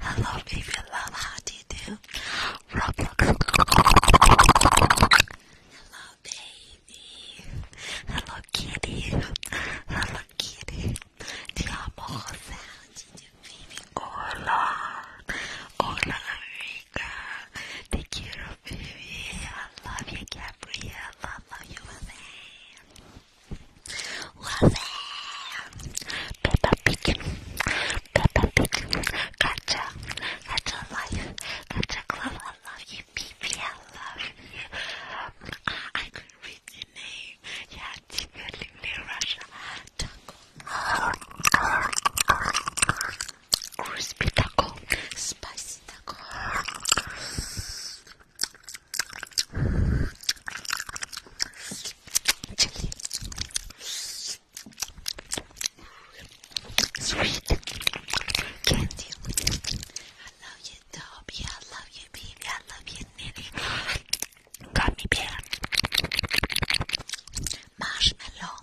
Hello, baby, you love, how do you do? Roblox. Hello, baby. Hello, kitty. Hello, kitty. Te amo, Jose. How do you do, baby? Hola. Hola, amiga. Te quiero, baby. I love you, Gabrielle. I love you, Jose. Love it. Peppa Pig. Peppa Pig. Gotcha. Gotcha life. Gotcha glove. I love you, baby. I love you. Ah, I could read your name. Yeah, definitely Russia. Taco. Crispy taco. Spicy taco chili, sweet candy. I love you, Dobby. I love you, baby. I love you, Nini. Gummy bear, marshmallow.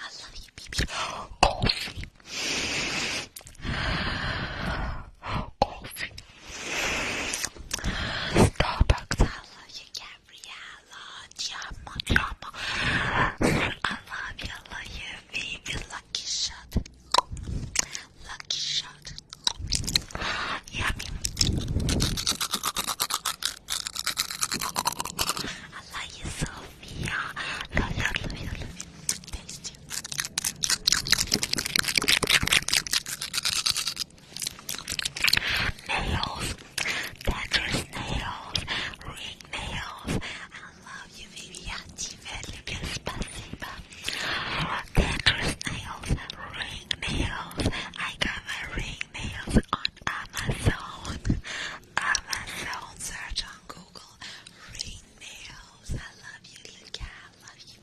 I love you, baby. Coffee. Coffee. Starbucks, I love you, Gabriella. Ti amo, ti I love you, love you, baby. Lucky shot. Lucky shot. I love you, Sophia. Love you, love you, love you. Tasty. Nails, dangerous nails, ring nails. I love you, baby. Auntie Velika, spasiba. Dangerous nails, ring nails. I got my ring nails on Amazon. Amazon, search on Google. Ring nails. I love you, Luca. I love you.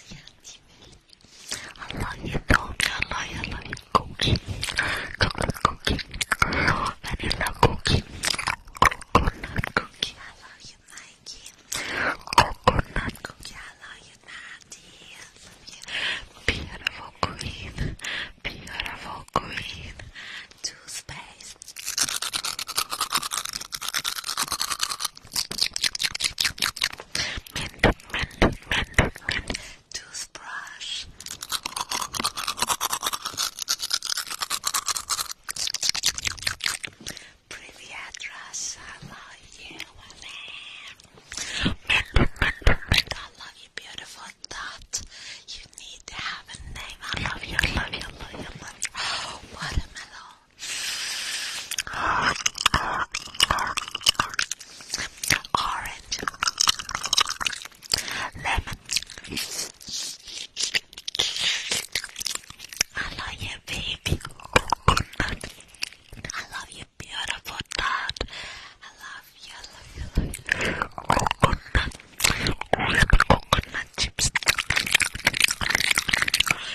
I love you, dog. I love you. I love you, cookie. Chocolate cookie. Vanilla cookie. Coconut cookie. I love you, Mikey. Coconut cookie. I love you, Natty. Beautiful queen. Beautiful queen. Two space. Mint, mint, mint, mint. Toothbrush. Pretty address. I love you. Mint, mint, mint. I love you, beautiful dot. You need to have a name. I love you, love you, love you, love you. Oh, watermelon orange, lemon. I love you, baby. I love you, beautiful I love you, I love you, I love you. Coconut, coconut chips.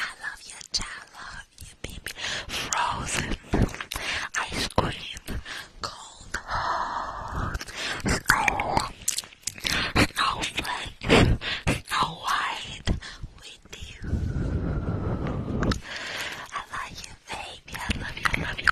I love you, child. Love you, baby. Frozen ice cream, cold, snow, snowflake, snow white with you. I love you, baby. I love you. love you.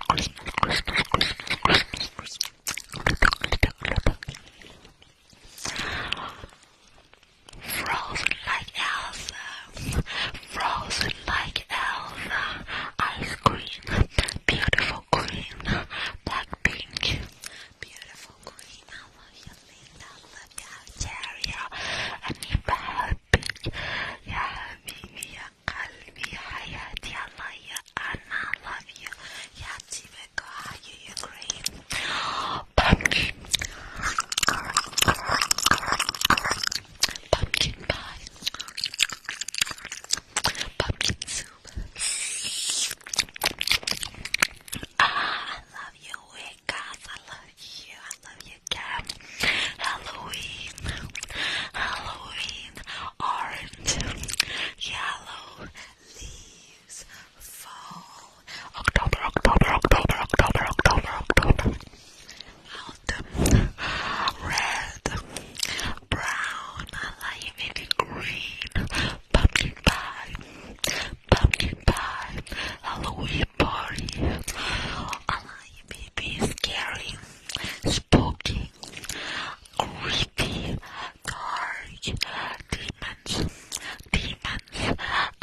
Frozen like Elsa, frozen like Elsa, ice cream, beautiful green, black pink, beautiful green, I love you I love you I need helping, يا حبيبي يا قلبي يا حياتي, I love you, أنا I love you, يا حبيبي America, Ukraine, pumpkin, pumpkin pie, pumpkin soup. I love you, guys. I love you. I love you, Cam. Halloween, Halloween, orange, yellow leaves fall, October, October, October, October, October, October, autumn, red, brown, navy green, pumpkin pie, pumpkin pie, Halloween party, maybe scary, spooky, creepy, dark, demons, demons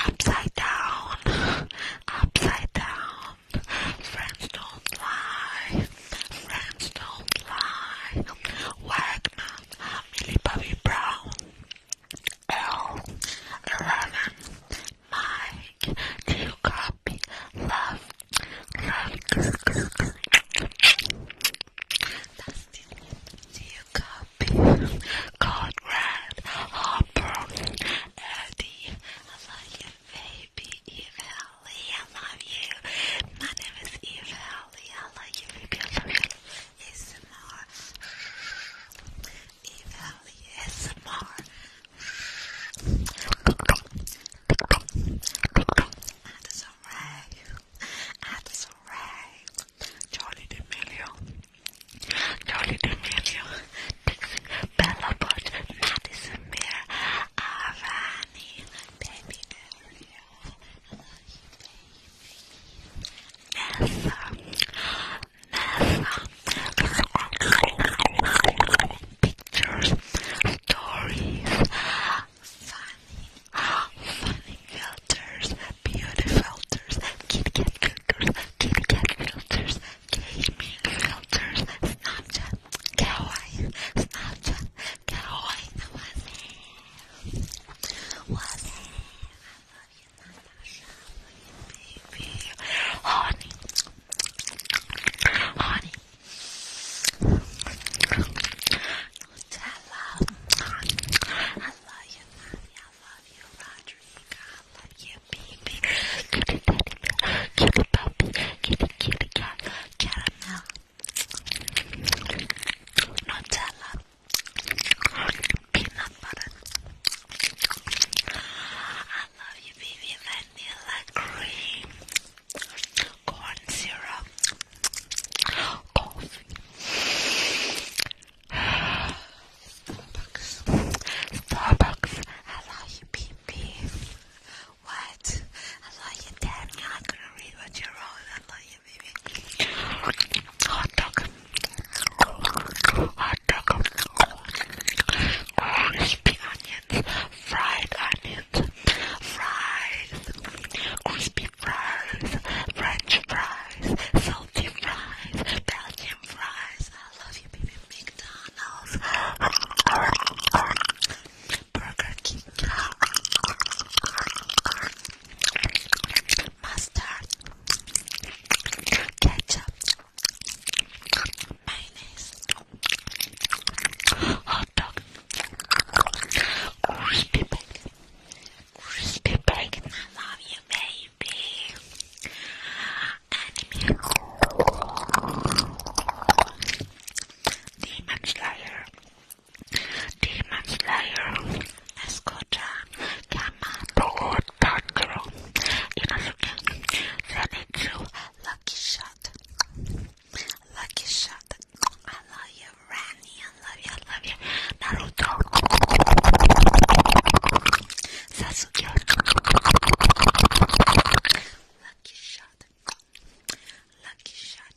upside down, upside down. Friends don't lie, friends don't lie. Wagner, Millie Bobby Brown, L, Eleven, Mike, do you copy? Love, love, do you copy? Duffy, Conrad, Harper, Eddie. I love you, baby. Evalie, I love you. My name is Evalie. I love you, baby. I love you. It's more. Evalie, it's more. Addison Ray. Addison Ray. Johnny DeMelio. Charlie D'Amelio, Dixon, Bella Butch, Madison Beer, Arani, Baby Ariel, Nessa, Nessa, pictures, stories, funny, funny filters, beauty filters, KitKat filters, KitKat filters, gaming filters, Snapchat, kawaii, Snapchat, kawaii, what's What's Baby, honey, honey, Nutella, honey. I love you, Nadia. I love you, Roderick. I love you, baby. Kitty teddy bear, kitty kitty kitty cat, caramel, Nutella, peanut butter. I love you, baby. Vanilla cream, corn syrup, coffee. Starbucks. Starbucks. I love you, PP. What? I love you, damn. You're not read what you wrote. I love you, baby. Hot dog. Hot dog. Crispy onions. Fried onions. Fries. Crispy fries. French fries. Salty fries. Belgian fries. I love you, baby. McDonald's. Burger King. Mustard. Ketchup. Mayonnaise. Hot dog. Crispy bacon. Crispy bacon. I love you, baby baby. Anime. Demon Slayer. Demon Slayer. Escucha. Yamato Tanjiro. Inosuke. Zenitsu. Lucky Shot. Lucky Shot. I love you, Rani. I love you. I love you. Naruto. Sasuke. Lucky shot. Lucky shot.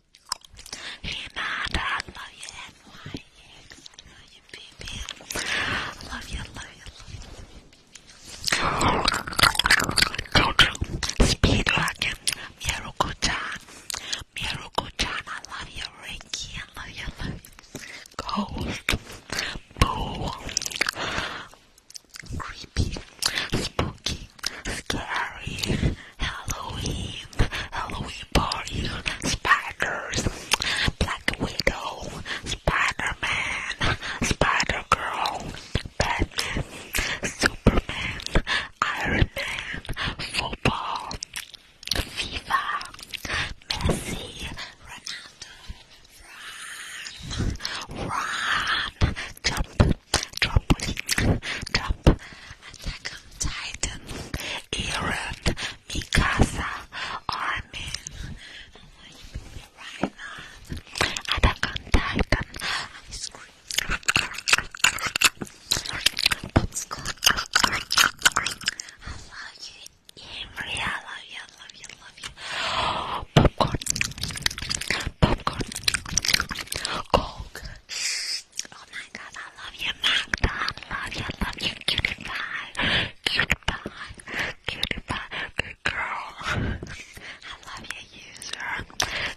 Hinata, I love you, NYX. I love you, baby. I love you, love you, love you. Speed Rocket, Miruko-chan, Miruko-chan, I love you, Reiki, I love you, love you ghost, boo, creepy, spooky, scary, Halloween, Halloween party, spiders, black widow, Spider-Man, Spider-Girl, Batman, Superman, Iron Man, football, FIFA, Messi, Ronaldo, run, run, jump, trampoline, jump, attack on Titan, Erend, Mikasa, Armin, right now, attack on Titan, ice cream, popsicle, I love you. Yeah, Maria, I love you, I love you, I love you. Popcorn. Popcorn. Coke. Oh my god, I love you, Magda. I love you, I love you. Cutie pie. Cutie pie. Cutie pie. Good girl. I love you, user.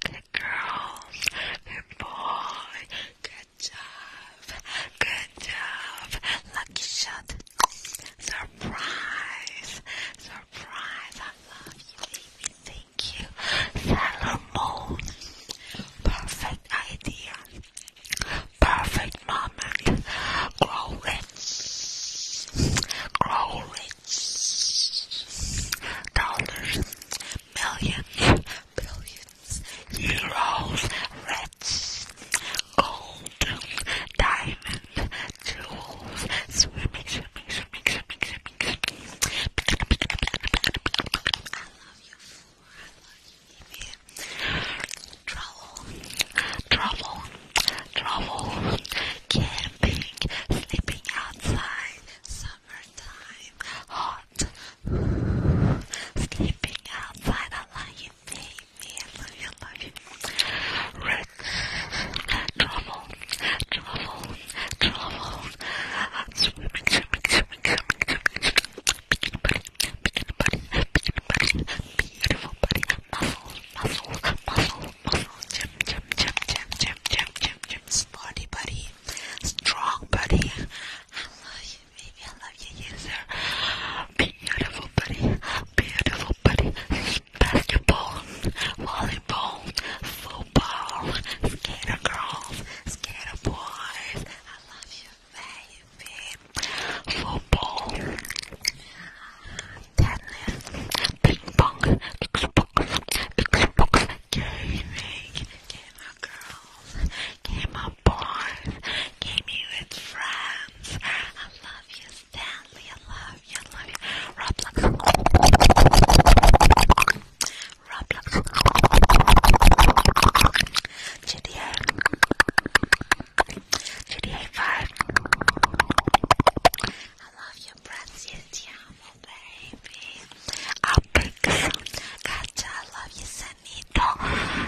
Good girls. Good boy. Good job. Good job. Lucky shot. Surprise! Surprise! I love you, baby. Thank you. Sailor Moon. Perfect idea. Perfect moment. Grow rich. Grow rich. Dollars. Millions. Billions. Euros. Red that's gold, diamond, jewels, swimming, swimming, swimming, swimming, swimming. I love you, I love you, baby. Travel, travel, travel, camping, sleeping outside, summertime, hot, sleeping outside. I love you, baby. I love you, I travel, travel, travel. Swimming, swimming, swimming, swimming, swimming. Bikini body, bikini body, bikini body. Beautiful body. Muscles, muscles, muscles, muscles. Gym, gym, gym, gym, gym, gym, gym, gym. Sporty body, strong body. I love you, baby. I love you, yes Beautiful buddy, beautiful buddy. Basketball, volleyball, football, skater girls, skater boys. I love you, baby. Football, tennis, ping pong, Xbox, Xbox, gaming, gamer girls, gamer boys, gaming with friends. I love you, Stanley. I love you. love you. Roblox. Roblox. GTA. GTA 5. I love you, Brazil. Tiamo, baby. Apex. Gotcha. I love you, Sanito.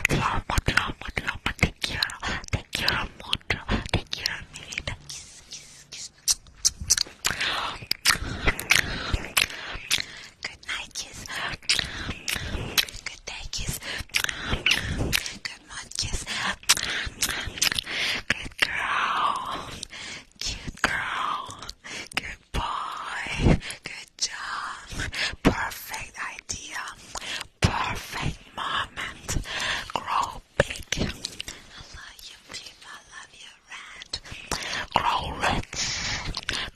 Trauma, trauma, trauma. Take care. Take Take care of me. kiss. Good night, kiss. Good day, kiss. Good morning, kiss. Good girl. Cute girl. Good boy. Good job. Perfect idea perfect moment. Grow big. I love you, people. I love you, Red. Grow rich.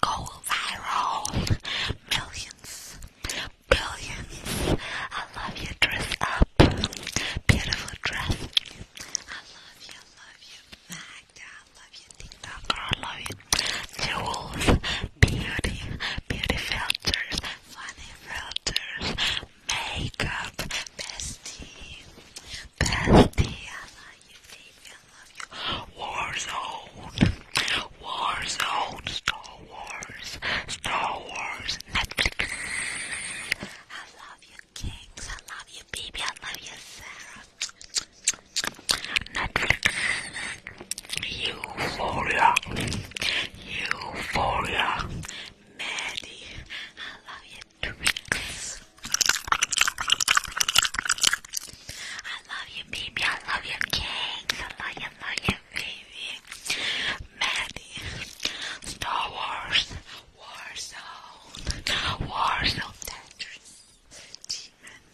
Go viral. Millions. Billions. I love you. Dress up. Beautiful dress. I love you. love you, Magda. I love you, TikTok. I love you, Jules beauty, beauty filters, funny filters, makeup, bestie, bestie, I love you, baby, I love you, Warzone, Warzone, Star Wars, Star Wars, Netflix, I love you, kings, I love you, baby, I love you, Sarah, Netflix. Euphoria, Euphoria, Maddie, I love your tweaks. I love you, baby. I love your cakes. I love you, love you, baby. Maddie, Star Wars, Warzone, Warzone, Tetris,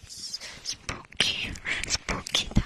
Demons, Spooky, Spooky Time.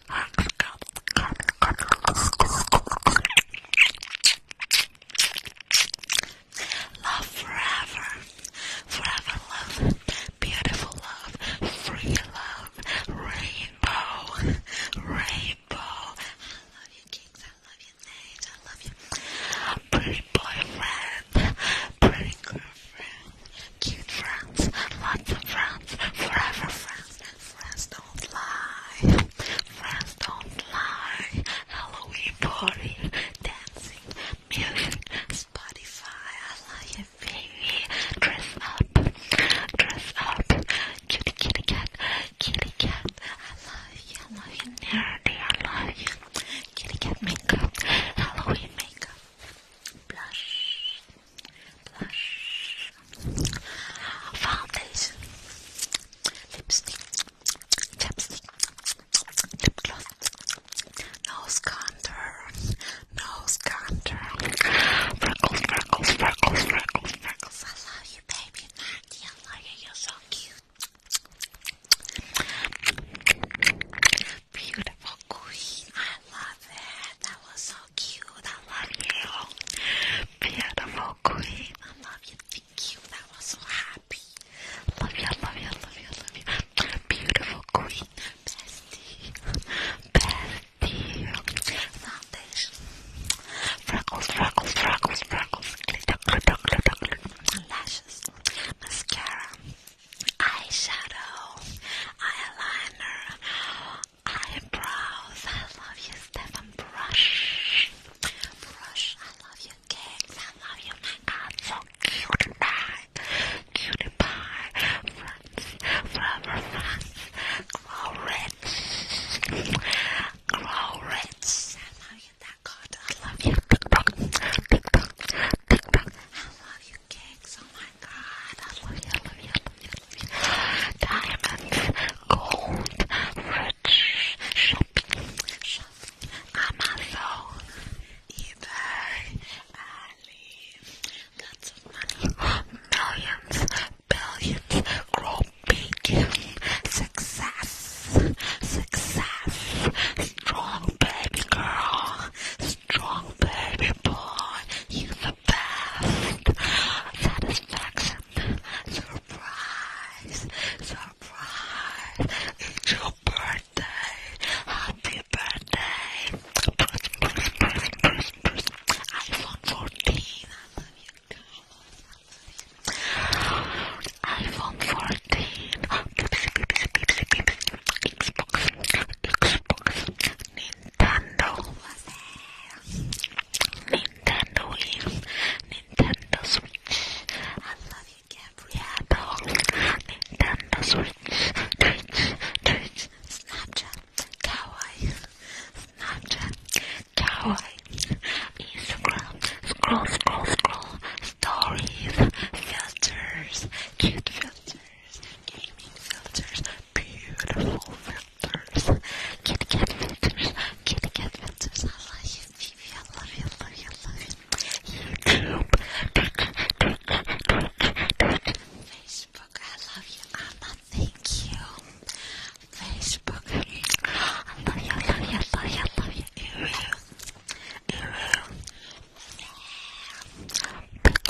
Love forever, forever love, beautiful love, free love, rainbow, rainbow. I love you, kings. I love you, Nate. I love you, pretty boyfriend, pretty girlfriend. Cute friends, lots of friends, forever friends. Friends don't lie. Friends don't lie. Halloween party, dancing, music, Spotify. I love you, baby. Dress up, dress up. Kitty, kitty cat, kitty cat. I love you, I love you, nerdy. I love you. Kitty cat makeup, Halloween makeup. Blush, blush, foundation, lipstick, chapstick, lip gloss, nose contour, nose contour, freckles, freckles, freckles, freckles, freckles. I love you, baby, I love you. You're so cute. Beautiful queen, love it. That was so cute. I love you. Beautiful queen. I love you. Thank you. That was so happy. Love you, love you, love you, love you. Beautiful queen. Bestie. Bestie. Foundation. Freckles, freckles, freckles, freckles. Glitter, glitter, glitter, glitter. Lashes. Mascara. Eyeshadow. Eyeliner. I love you, Stefan. Brush. Brush. I love you, cakes. I love you, my God. So cute pie. Cutie pie. France. Forever France. Grow rich. I love you, that God. I love you. TikTok. TikTok. TikTok. I love you you Oh my god, I love you, I love you, I love you, I love you. Diamonds, gold, rich, shopping, I'm alone. Either I lots of money, millions, billions, grow success, success, strong baby girl, strong baby boy, you best. Satisfaction. Surprise. Surprise. It's birthday. Happy birthday. iPhone 14. iPhone 14. Xbox. Xbox. Nintendo. Nintendo Wii, Nintendo Switch. I love you, Gabrielle. Nintendo Switch, Twitch, Twitch, Snapchat, Kawaii, Snapchat, Kawaii, Instagram, scroll, scroll, scroll, stories, filters, cute filters, gaming filters, beautiful filters. Kitty cat filters. Kitty cat filters. I love you, I love you, I love you, I love you. YouTube. Facebook. I love you, Anna. Thank you. Facebook. I love you, I love you, I love you, I love you. Ariel. Ariel. Beep,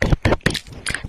beep, beep, beep, beep, beep,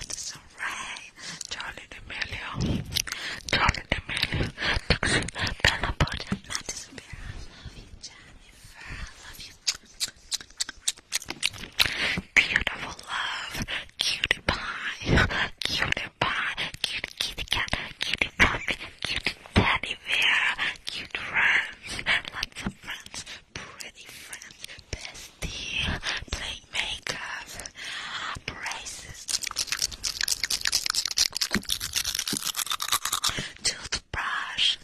Addison Rae, Charlie D'Amelio, Charlie D'Amelio, Bella Borden, Madison Beer, love you, Jennifer, I love you. Beautiful love, cutie pie, cutie pie, cutie kitty cat, cutie puppy, cutie teddy bear, cute friends, lots of friends, pretty friends, bestie, play makeup, braces, toothbrush.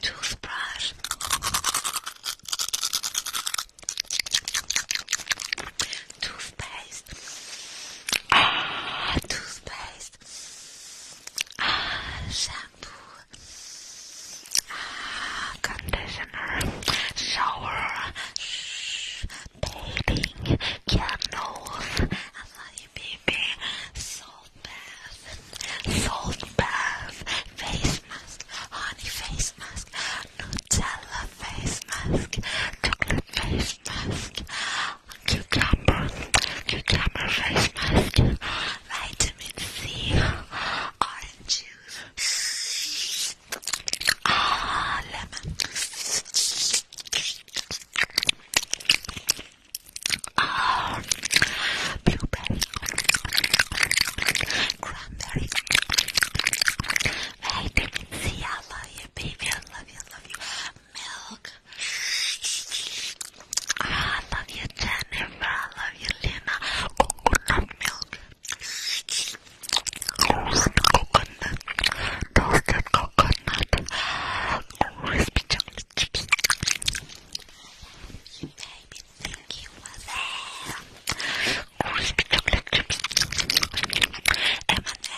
Toothbrush, toothpaste, ah, toothpaste, test. Ah, shampoo. Ah, conditioner. Shower. Shh. Bathing. Candles. I love you, baby. Salt bath. Salt bath. Face mask. Honey face mask. Nutella face mask. Chocolate face mask cucumber, cucumber face mask, vitamin C, orange juice, ah, lemon, ah, blueberry, cranberry, vitamin C, I love you baby, I love you, I love you, milk, Ah, I love you, Jennifer. I love you, Lena. Coconut milk. Roasted coconut. Toasted coconut. Crispy chips. You chips.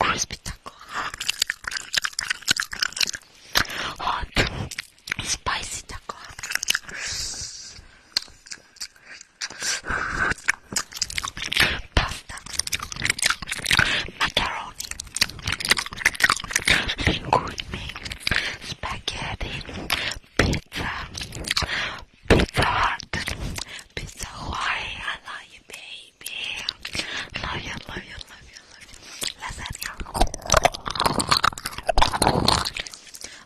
crispy taco, hot spicy taco. Pasta, macaroni, linguine, spaghetti, pizza, pizza hut, be so I love you, baby. Love you, love you, love you, love you. Lasagna.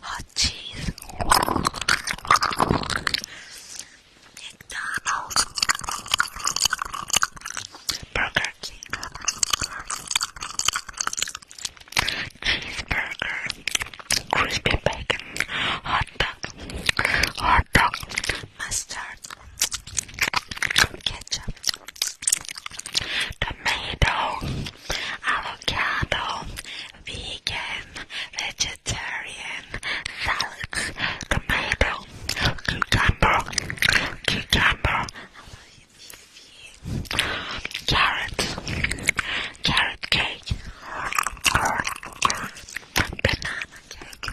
Hot cheese. McDonald's. Burger King. Cheeseburger. Crispy bacon. Hot dog. Hot dog mustard, ketchup, tomato, avocado, vegan, vegetarian, salad, tomato, cucumber, cucumber, carrot, carrot cake banana cake,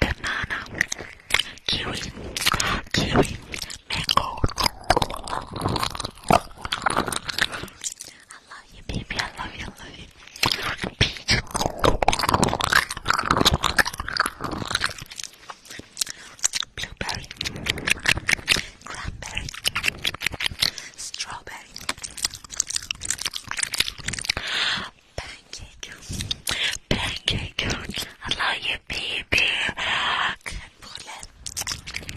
banana, kiwi, kiwi, mango. I love you, baby. I love you. love you. Peach. Blueberry, cranberry, strawberry. Pancake. Pancake. I love you, baby. Crème brûlée.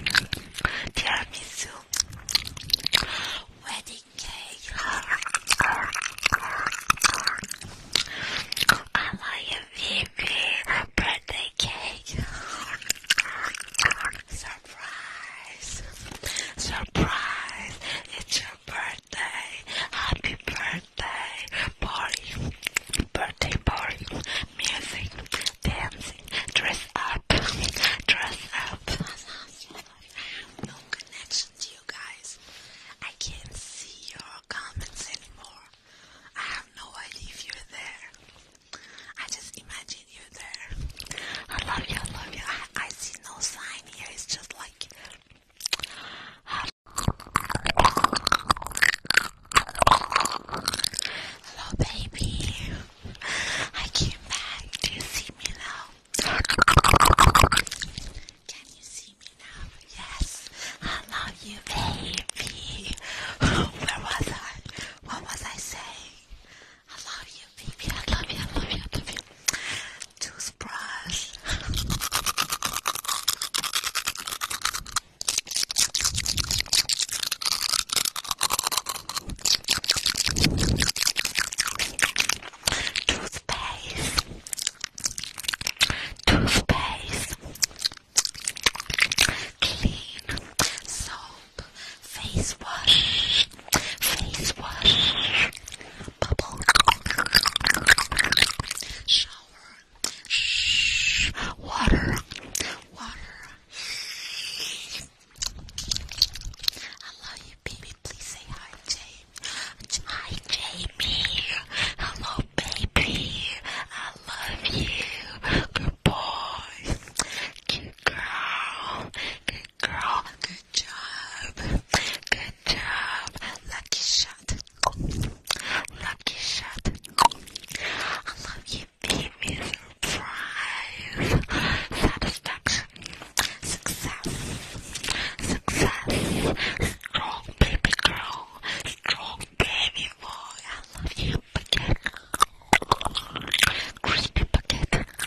Tiramisu. Wedding cake. I love you, baby. Birthday cake. Surprise! Surprise! birthday, happy birthday, party, birthday party, music, dancing, dress up, dress up. no connection to you guys. I can't see your comments anymore. I have no idea if you're there. I just imagine you there. I love you, I love you. I see no sign here is baby. I came back. Do you see me now? Can you see me now? Yes. I love you, baby. Where was I? What was I saying? I love you, baby. I love you. I love you. I love you. Toothbrush. Toothpaste. Toothpaste. Clean soap. Face wash face wash, bubble, shower, water, water. I love you, baby. Please say hi, Jamie. Hi, Jamie. Hello, baby. I love you. Good boy. Good girl. Good girl. Good Good job. Good job. Lucky shot. Lucky shot. I love you. Give me surprise. Satisfaction. Success. Success. Strong baby girl. Strong baby boy. I love you. Bucket. Crispy bucket.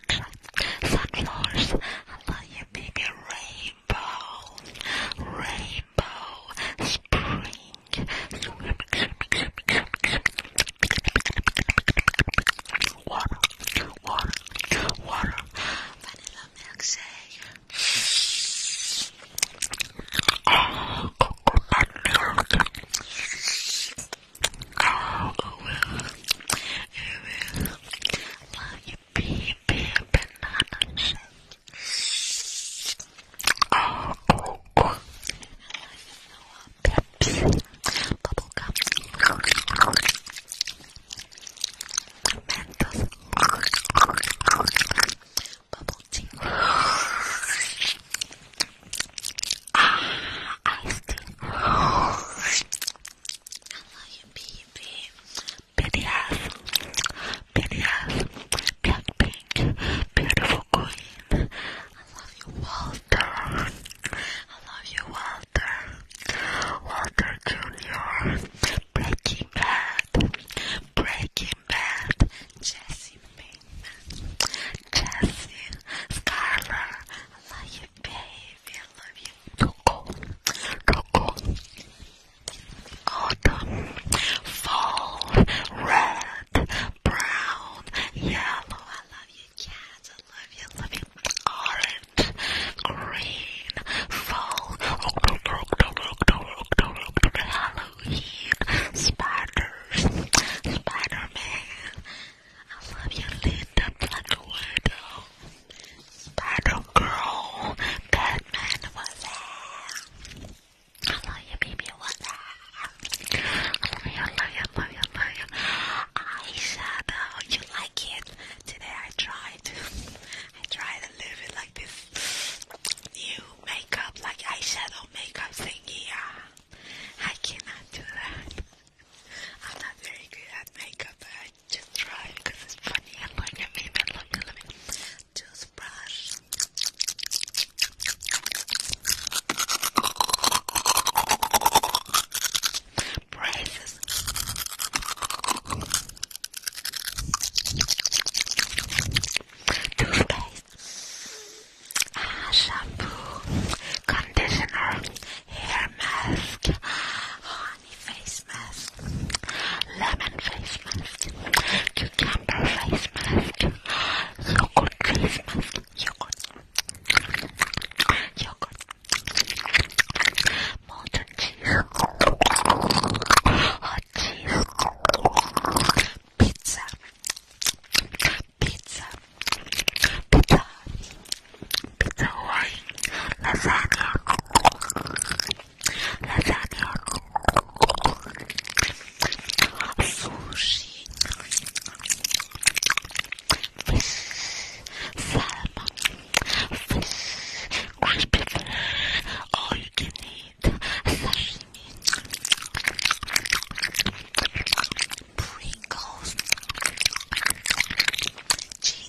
such, such flowers. Let you baby. rainbow, rainbow, spring. Water, water, water. Vanilla milkshake. Oh, coconut milk. Oh, it will yippee, yippee Oh, oh, oh. bubblegum, Mentos, bubble ah, iced tea. I love you, baby. Pretty ass. Black pink. Beautiful queen. I love you, Walter. I love you, Walter. Walter Jr. Breaking Bad. Breaking Bad. Jesse Pinkman. Jesse. Scarlett. I love you, baby. I love you, Choco, choco, autumn, fall, red, brown, yellow. I love you, cats. I love you, love you. Orange, green, fall, October, October, spiders, spider I love you, Linda Black Widow. Spider girl, Batman was there. I love you, baby, was there. I love you, love you, love you, love you. Eyeshadow, you like it? Today I tried. I tried a little like this new makeup, like eyeshadow makeup thingy. Ah, I cannot do that. I'm not very good at makeup, but just try because it's funny and look at me, and look, and look at me. Toothbrush. Braces. Toothpaste. Ah, shampoo. Conditioner. Hair mask. Oh, face mask, lemon face mask, cucumber face mask, yogurt face mask, yogurt, yogurt, molten cheese, cheese, pizza, pizza, pizza, pizza Hawaii, lasagna, lasagna, sushi, fish, salmon, fish, crispy fish, all you can eat, sashimi, Pringles, cheese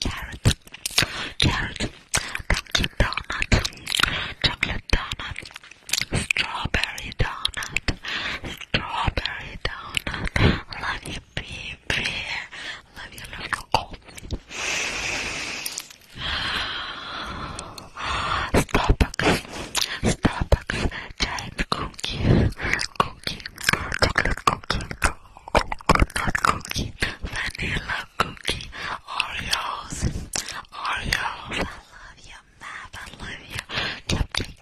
carrot, carrot, pumpkin donut, chocolate donut, strawberry donut, strawberry donut. Love you, baby. Love you, little oh. Starbucks, Starbucks, giant cookie, cookie, chocolate cookie coconut cookie, vanilla cookie, Oreos, Oreos. I love you, Matt. I love you. Cupcake,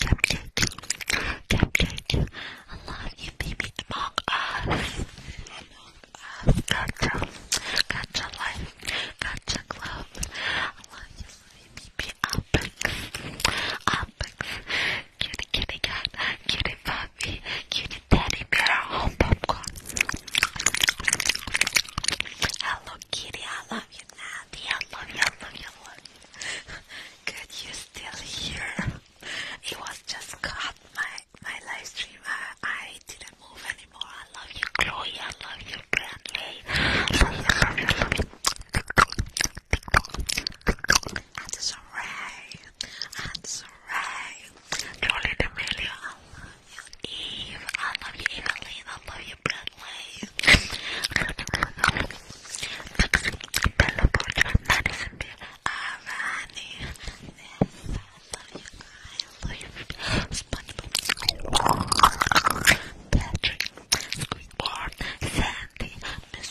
cupcake, cupcake. I love you, baby. Among us, Gotcha, gotcha life, gotcha club. I love you, baby. Up, I topics. Kitty kitty cat, kitty puppy, kitty teddy bear, home popcorn. Hello kitty, I love you Natty, I love you, I love you, I love you. Good, you're still here. It was just cut my my live stream. I, I didn't move anymore. I love you, Chloe. I love you, Brantley. Love you, love you, love you. Anderson Ray. Anderson Charlie um, D'Amelio, I love you, Eve, I love you, Evelyn, I love you, Bradley, Bella Porter, Madison Beer, Irony, I love you, I love you, SpongeBob, Patrick, Squidward, Sandy, Miss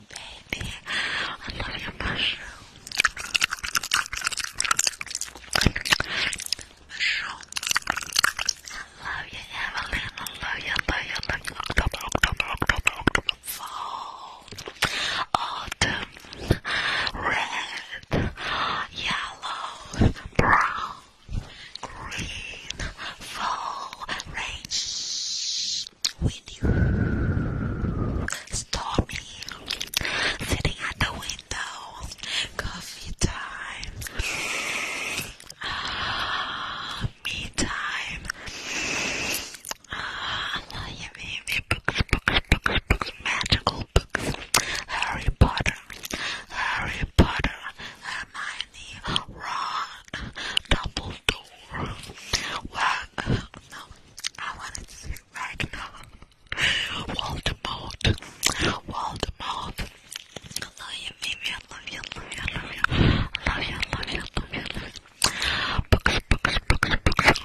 baby. I love your mushroom. I love you, Evelyn. I love you, I love you, I love you. October, October, October, Fall. Autumn. Red. Yellow. Brown. Green. Fall. Rain. Stop you. sitting at the window, coffee time, me time. I love you, Books, books, books, books, magical books. Harry Potter, Harry Potter, Hermione. Ron, Dumbledore. Well, uh, no, I wanted to say Ragnar, Voldemort, Voldemort. I love you, baby. I love you, I love you, I love you. I love you, I love you, I love you, I love you. Books, books, books, books.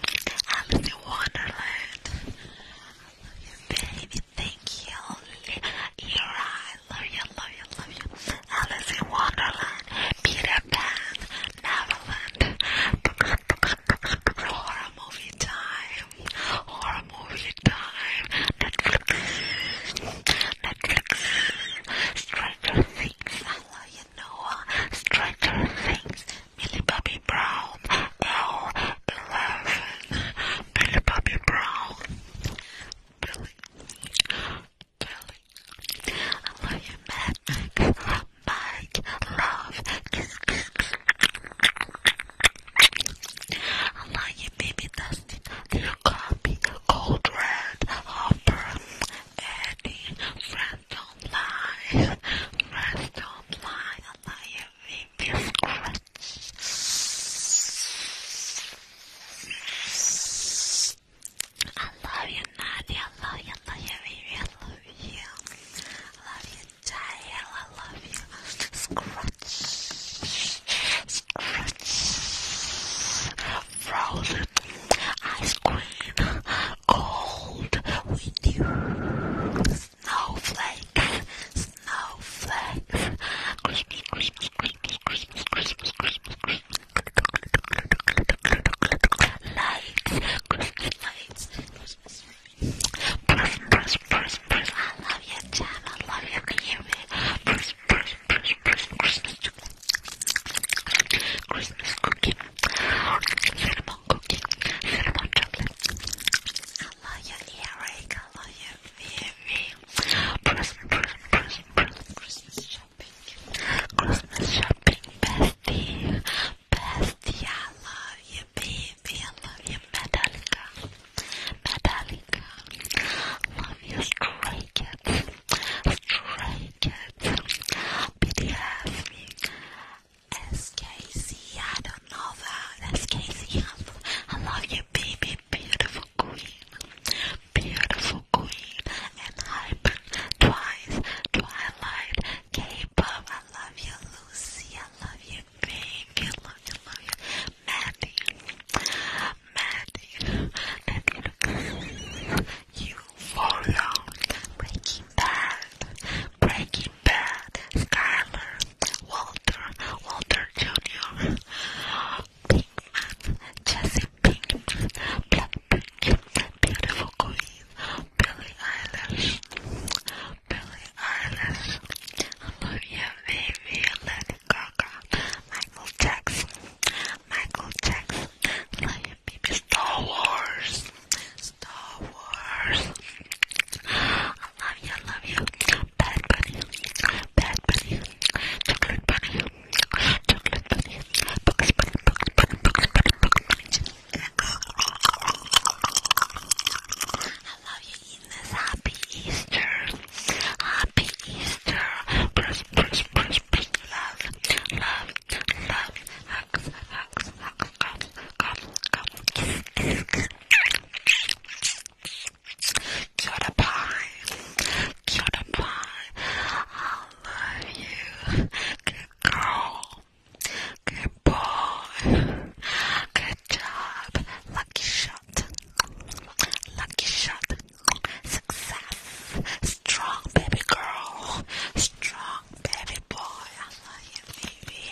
Alice in Wonderland. I love you, baby. Thank you. Ira, I love you, I love you, love you. Alice in Wonderland, Peter Pan, Neverland. Horror movie time. Horror movie time. Netflix. Netflix. Stranger Things. I love you, Noah. Stranger Things. Millie Bobby Brown. L. Eleven. Billy Bobby Brown. I love you, Matt. Mike, love. I love you, baby Dusty. Dear copy, cold red, hopper, Eddie, friend don't lie. Friends don't lie. I love you, baby scratch. I love you, Nadia. I love you. love you, baby. I love you. I love you, Jael. I love you. Scratch. Scratch. Frozen ice cream. Cold. Windy. Snowflakes. Snowflakes. Christmas, Christmas, Christmas, Christmas, Christmas, Christmas lights, Christmas lights, Christmas Person, person, person, person, I love you, Jam, I love you, can you hear me? Person, person, person, person, Christmas cookie, Christmas cookie, cinnamon cookie, cinnamon chocolate. I love you, Eric, I love you, Vivi. Person, person, person, person, Christmas Christmas shopping, bestie, bestie. I love you, baby. I love you, Metallica, Metallica. Love you, Stray Cats, Stray Cats. I don't know that SKC. I love you, baby. Beautiful queen, beautiful. Queen, and Hyper, Twice, Twilight, K-Pop, I love you, Lucy, I love you, Pink, love you, love you, Maddie, Maddie, that you Breaking Bad, Breaking Bad, Skylar, Walter, Walter Jr., Pinkman, Jesse Pinkman, Black Pink, beautiful queen, Billie Eilish, Billie Eilish, Olivia Baby, Lady Gaga, Michael Jackson, Michael Jackson, Lady Baby, Star Wars, Star Wars, I love you, I love you, Bad Bunny, Bad Bunny, Chocolate Bunny, I love you, Ines. Happy Easter. Happy Easter. Press, press, press, press. Love, love, love. Hugs, hugs, hugs. Cups, cups, cups. Kiss, kiss, kiss. Cutie pie. Cutie pie, I love you. Good girl. Good boy. Good job. Lucky shot. Lucky shot. Success. Strong baby girl. Strong baby boy. I love you, baby.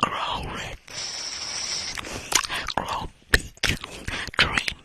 Grow rich. Grow big. Dream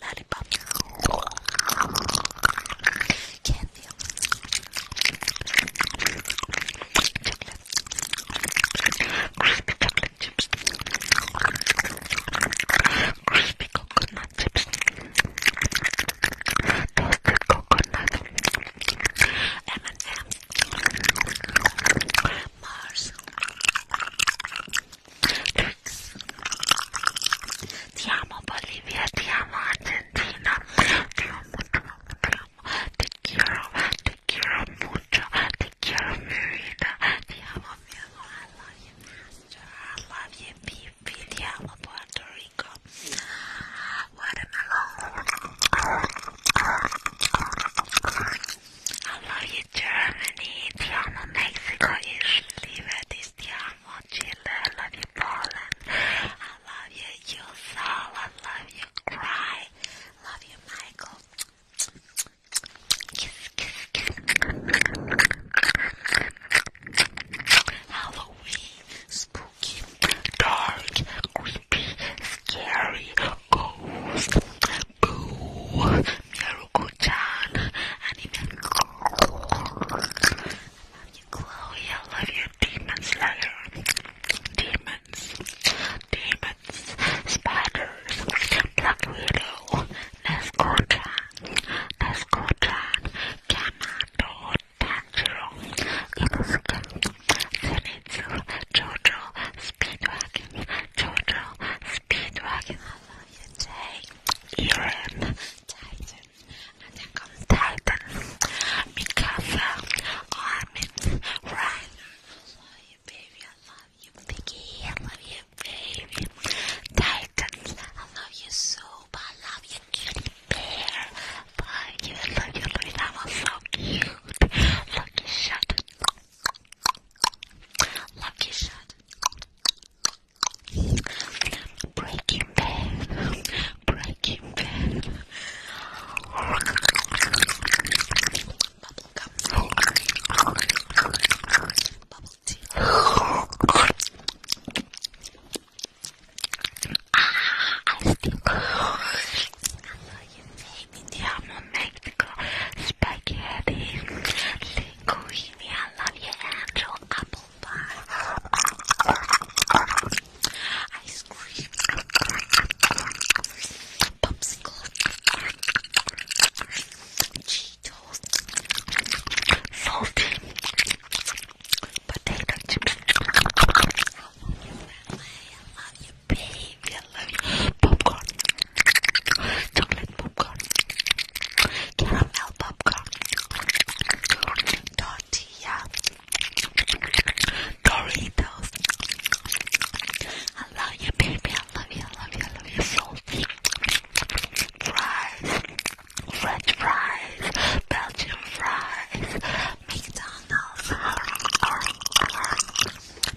Lollipop. Candy. Chocolate. Crispy chocolate chips. Crispy coconut chips. Toasted coconut. M&M. Mars. Tricks. Ti Bolivia, ti amo Argentina, ti amo, ti amo, ti te quiero, te quiero mucho, te quiero mi vida, ti amo mi amor, I love you master, I love you baby, ti amo Puerto Rico, watermelon. I love you, Germany. Ti amo, Mexico, Italy. This ti amo, Chile. I love you, Poland. I love you, Yusal. I love you, Cry. Love you, Michael. Kiss, kiss, kiss. Halloween, spooky, dark, creepy, scary, ghost, boo, mirror. Ruko-chan, and even I love you, Chloe. I love you, Demon Slayer. Demons, demons, spiders, Black Widow, Nesco-chan, Nesco-chan, Kamado, Tanjiro, Inosuke, Zenitsu, Jojo, Speedwagon, Jojo, Speedwagon. Father Love you, baby. I love you, Piggy. I love you, baby. Titans, I love you, Soup. I love you, Kitty Bear. Love you, love you, love you. That was so cute. Lucky shot. Lucky shot. Breaking bad. Breaking bad. Bubble gum. Bubble tea. ah, I still love you, baby. Indiamo, Mexico, spaghetti, linguine, I love your actual apple pie, ice cream, popsicle, Cheetos, salty, potato chips, I love you, baby, I love you, baby, I love you, popcorn chocolate popcorn, caramel popcorn, tortilla, Doritos. I love you, baby. I love you. I love you. I love you so. Fries, French fries, Belgian fries, McDonald's,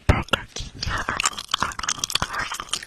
Burger King.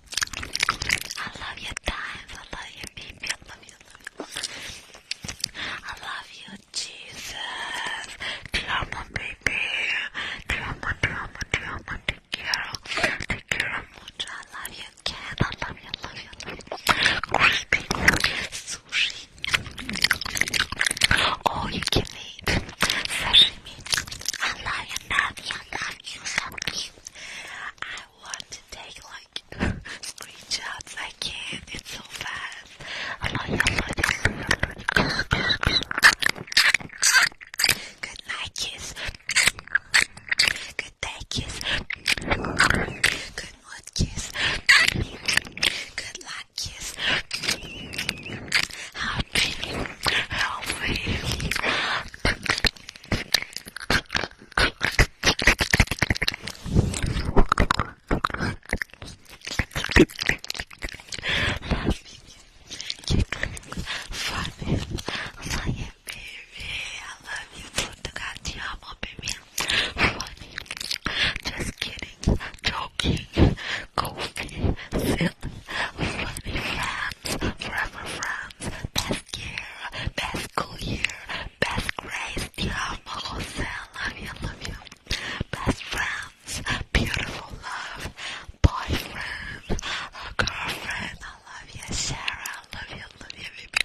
I love your time. I love your baby. I love you. love I love you Jesus. Te amo, baby. Te amo, te amo, te amo. Te quiero. Te quiero mucho. I love I love you, I love you, love you. Crispy sushi. Oh, you can eat sashimi. I love you, Nadia. I love you, so cute. I want to take like screenshots. I can't. It's so fast. Good night kiss. Good day kiss. Good mood kiss. Good luck kiss. How pretty you funny, funny baby. I love you too. Te amo, baby. Funny. Just kidding. Joking. Goofy. Silly. Funny friends. Forever friends. Best year, best school year, best grades, dear Alma Jose, love you, love you. Best friends, beautiful love, boyfriend, girlfriend, I love you, Sarah, I love you, love you, baby.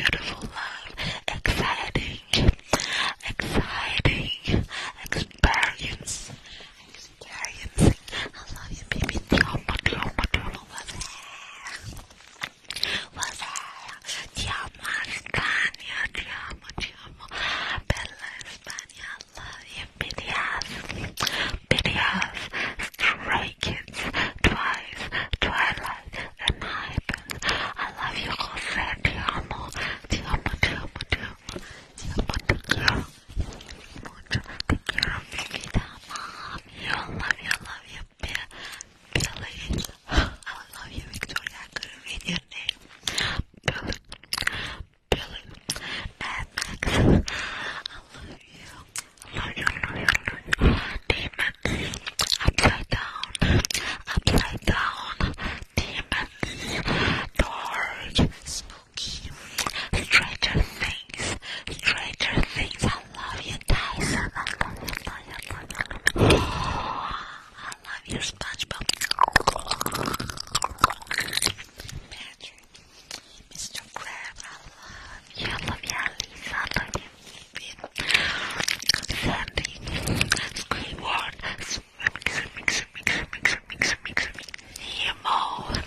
Beautiful love, exciting, exciting experience. I love you, baby. Tell my girl, my girl, what's that? What's that? amo, Spania. amo, ti amo. Bella Spania. I love you, bitty ass. Bitty ass. Stray kids. amo. Ti amo, ti amo, ti amo. Ti amo, ti amo much. Take You love love you, Billy. I love you, Victoria. I couldn't read your name. Billy. Billy. And Max. I love you. I love you, I love you, I Upside down. Upside down. Demons. Dark. Spooky. Stranger things things, things. I love you, Tyson. I love you, I love you, I love you. I love you, SpongeBob. Patrick, Mr. Crab, I love you. I love you, Lisa. I love you, Finn. Sandy, Squidward, Squidward, Squidward, Squidward, Squidward, Squidward, Squidward, Squidward,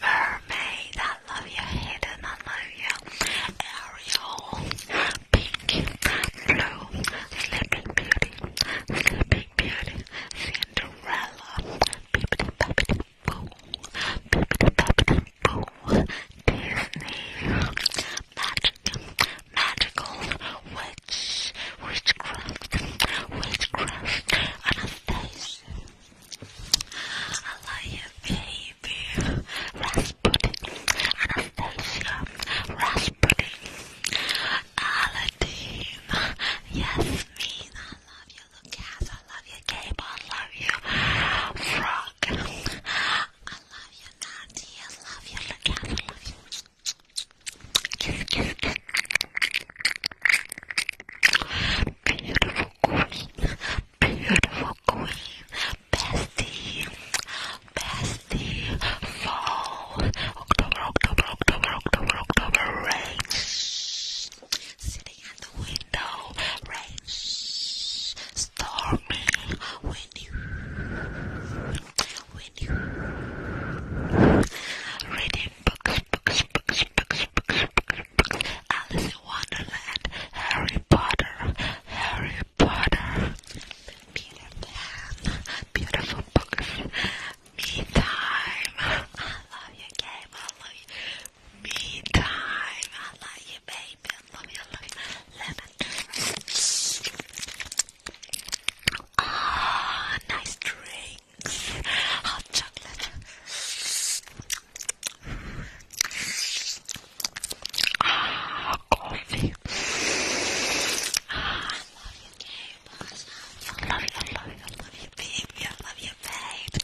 Mermaid, I not love your head, I love you, aerial, pink, blue, sleeping beauty, sleeping beauty, Cinderella, bibbidi babbidi Disney, magic, magical, witch, witchcraft, witchcraft, Anastasia, I love you, baby. Rasputin, Anastasia, Rasputin, Aladdin, Yasmin. I love you, Lucas. I love you, Gabe. I love you, Frog. I love you, Nadia. I love you, Lucas. I love you. Kiss, kiss, kiss. Beautiful queen, beautiful queen, bestie, bestie, fall, October, October, October, October, October, rain, sitting at the window, rain, stormy, windy, windy, reading books, books, books, books, books, books, Alice in Wonderland, Harry Potter, Harry Potter, Peter Pan, beautiful books, me time, I love your game, I love you, me time, I love you baby, I love you, I love you, lemon, ah, nice drinks, hot chocolate, coffee. I love you, neighbors. I love you, baby. I love you, babe.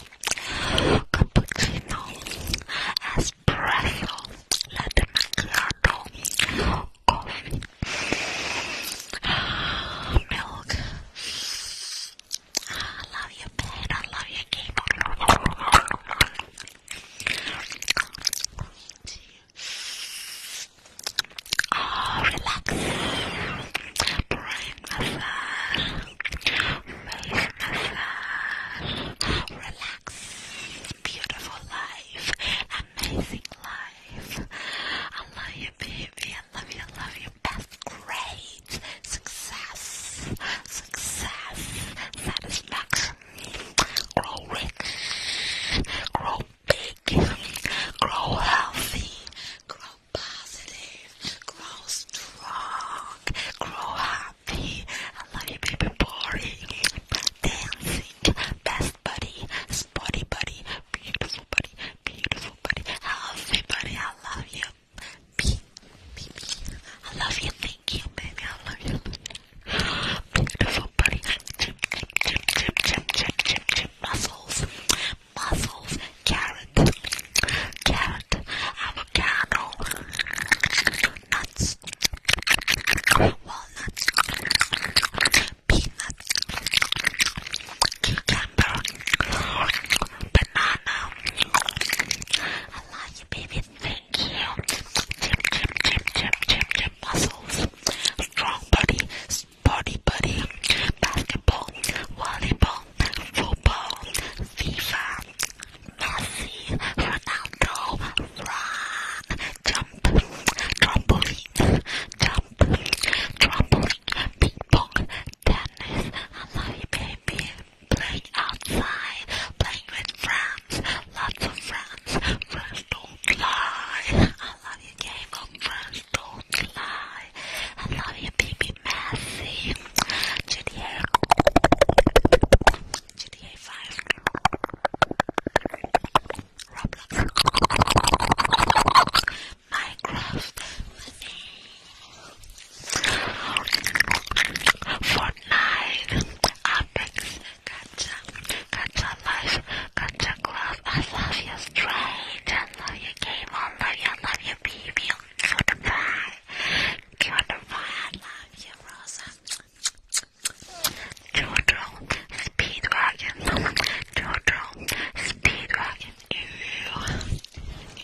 Cappuccino, espresso, latte macchiato, coffee, milk, I love your pen, I love your keyboard. Oh, relax. Brain massage. Face massage. Relax. Beautiful life. Amazing life. I love you, baby. I love you. I love you. That's great success, success, satisfaction. Grow rich, grow big, grow healthy, grow positive, grow strong, grow happy. I love you, baby boy. Dancing, best buddy, sporty buddy, beautiful buddy, beautiful buddy, healthy buddy. I love you. P, P, P. I love you, thank you, baby. I love you. Beautiful buddy. Chip, chip, chip, chip, chip, chip, Muscles, muscles. Carrot, carrot. Avocado, nuts, walnuts, peanuts, cucumber, banana. I love baby, thank you. Chip, chip, chip, chip, chip, chip, muscles. Strong body, body, body. Basketball, volleyball, football, FIFA, Messi, Ronaldo, run, jump, trampoline, jump, trampoline, ping pong, tennis. I love you, baby playing outside, playing with friends, lots of friends. Friends don't lie. I love you, game of oh, friends don't lie. I love you, baby Messi. GTA, GTA 5, Roblox, Minecraft, Fortnite, Apex, Gacha, Gacha Life, Gacha Club, I love you straight, I love you game, I love you, I love you baby, goodbye, goodbye, I love you Rosa. Dodo, Speedwagon, Dodo, Speedwagon, ew,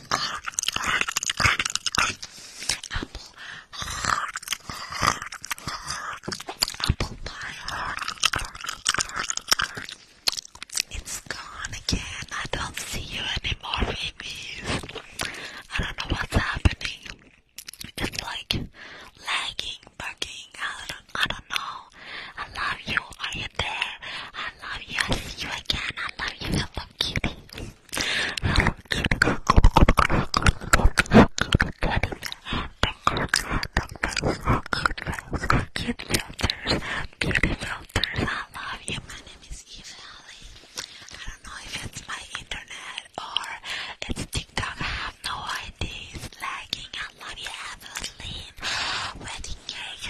Apple. Apple pie. It's gone again. I don't see you anymore, baby. I don't know what's happening. It's like lagging, bugging. I don't, I don't know. I love you. Are you there? I love you. I see you again. I love you. I love kitty. How cute a girl, how cute a girl, how cute a daddy, how cute a doctor, how cute girls, how cute filters, beauty filters. I love you. My name is Eva Ali. I don't know if it's my internet or it's TikTok. I have no idea. It's lagging. I love you, Evelyn. Wedding cake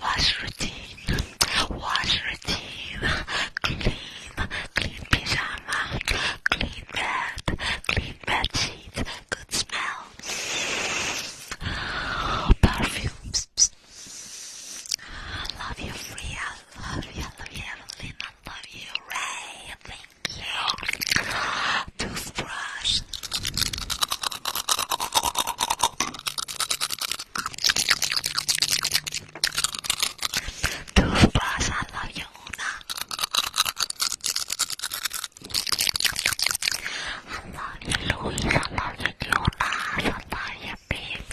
wash routine, wash routine, clean, clean pyjama, clean bed, clean bed sheets, good smell, perfumes. I love you, Free. I love you, I love you, Evelyn. I love you, Ray. Thank you. Toothbrush. Toothbrush, I love you, I love you, I love you, Jonas. love you, baby.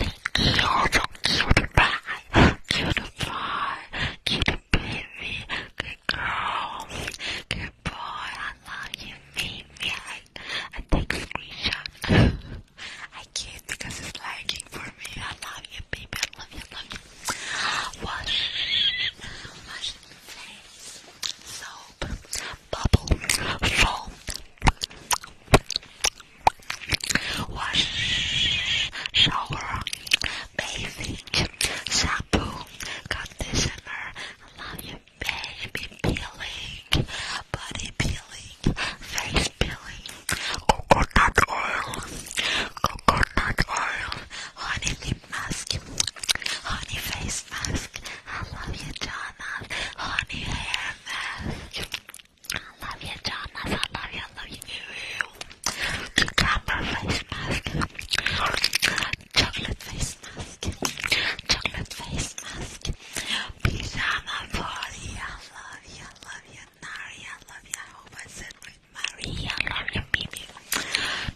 Thank you, so cute, bye. Cute, bye. Cute, baby. Good girl. Good boy. I love you, baby. I, I take a screenshot. I can't because it's lagging for me. I love you, baby. I love you, I love you. Wash, wash the face. Soap, bubble, foam. Wash, shower, bathing, shampoo, conditioner. I love you, baby peeling, body peeling, face peeling, coconut oil, coconut oil, honey lip mask, honey face mask, I love you Jonas, honey hair mask, I love you Jonas, I love you, I love you, cucumber face mask, chocolate face mask, chocolate face mask, pyjama party. I love you, I love you, Nari. I love you. I hope I said with I love you, Mimi.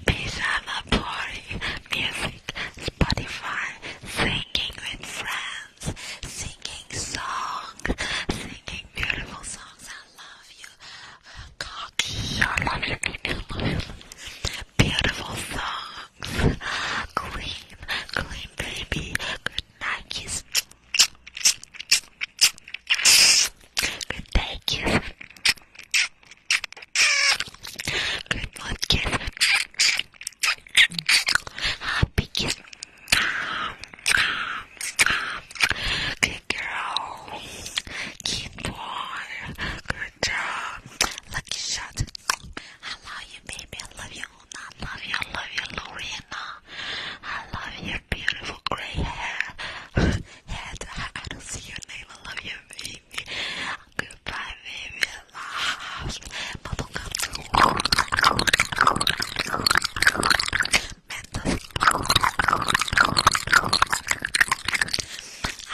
Pyjama party, music, Spotify, singing with friends, singing songs, singing beautiful songs. I love you, cocky. I love you, I love you. Beautiful song. Clean, clean baby. Good night kiss. Good day kiss. Good night kiss. Happy kiss. Good girl. Keep boy. Lucky shot. I love you, baby. I love you, Una. I love you. I love you, I love your beautiful gray hair. I don't see your name. I love you, baby. Goodbye, baby. love. I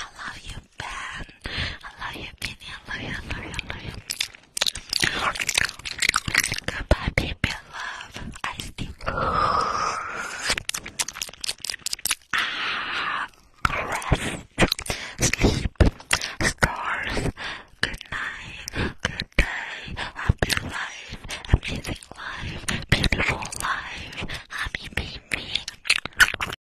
love you, I love you, Minnie. I love you, I love you, I love you. Goodbye, baby love. I still. Ah, rest, sleep, stars. Good night, good day, happy life, amazing life, beautiful life, happy baby.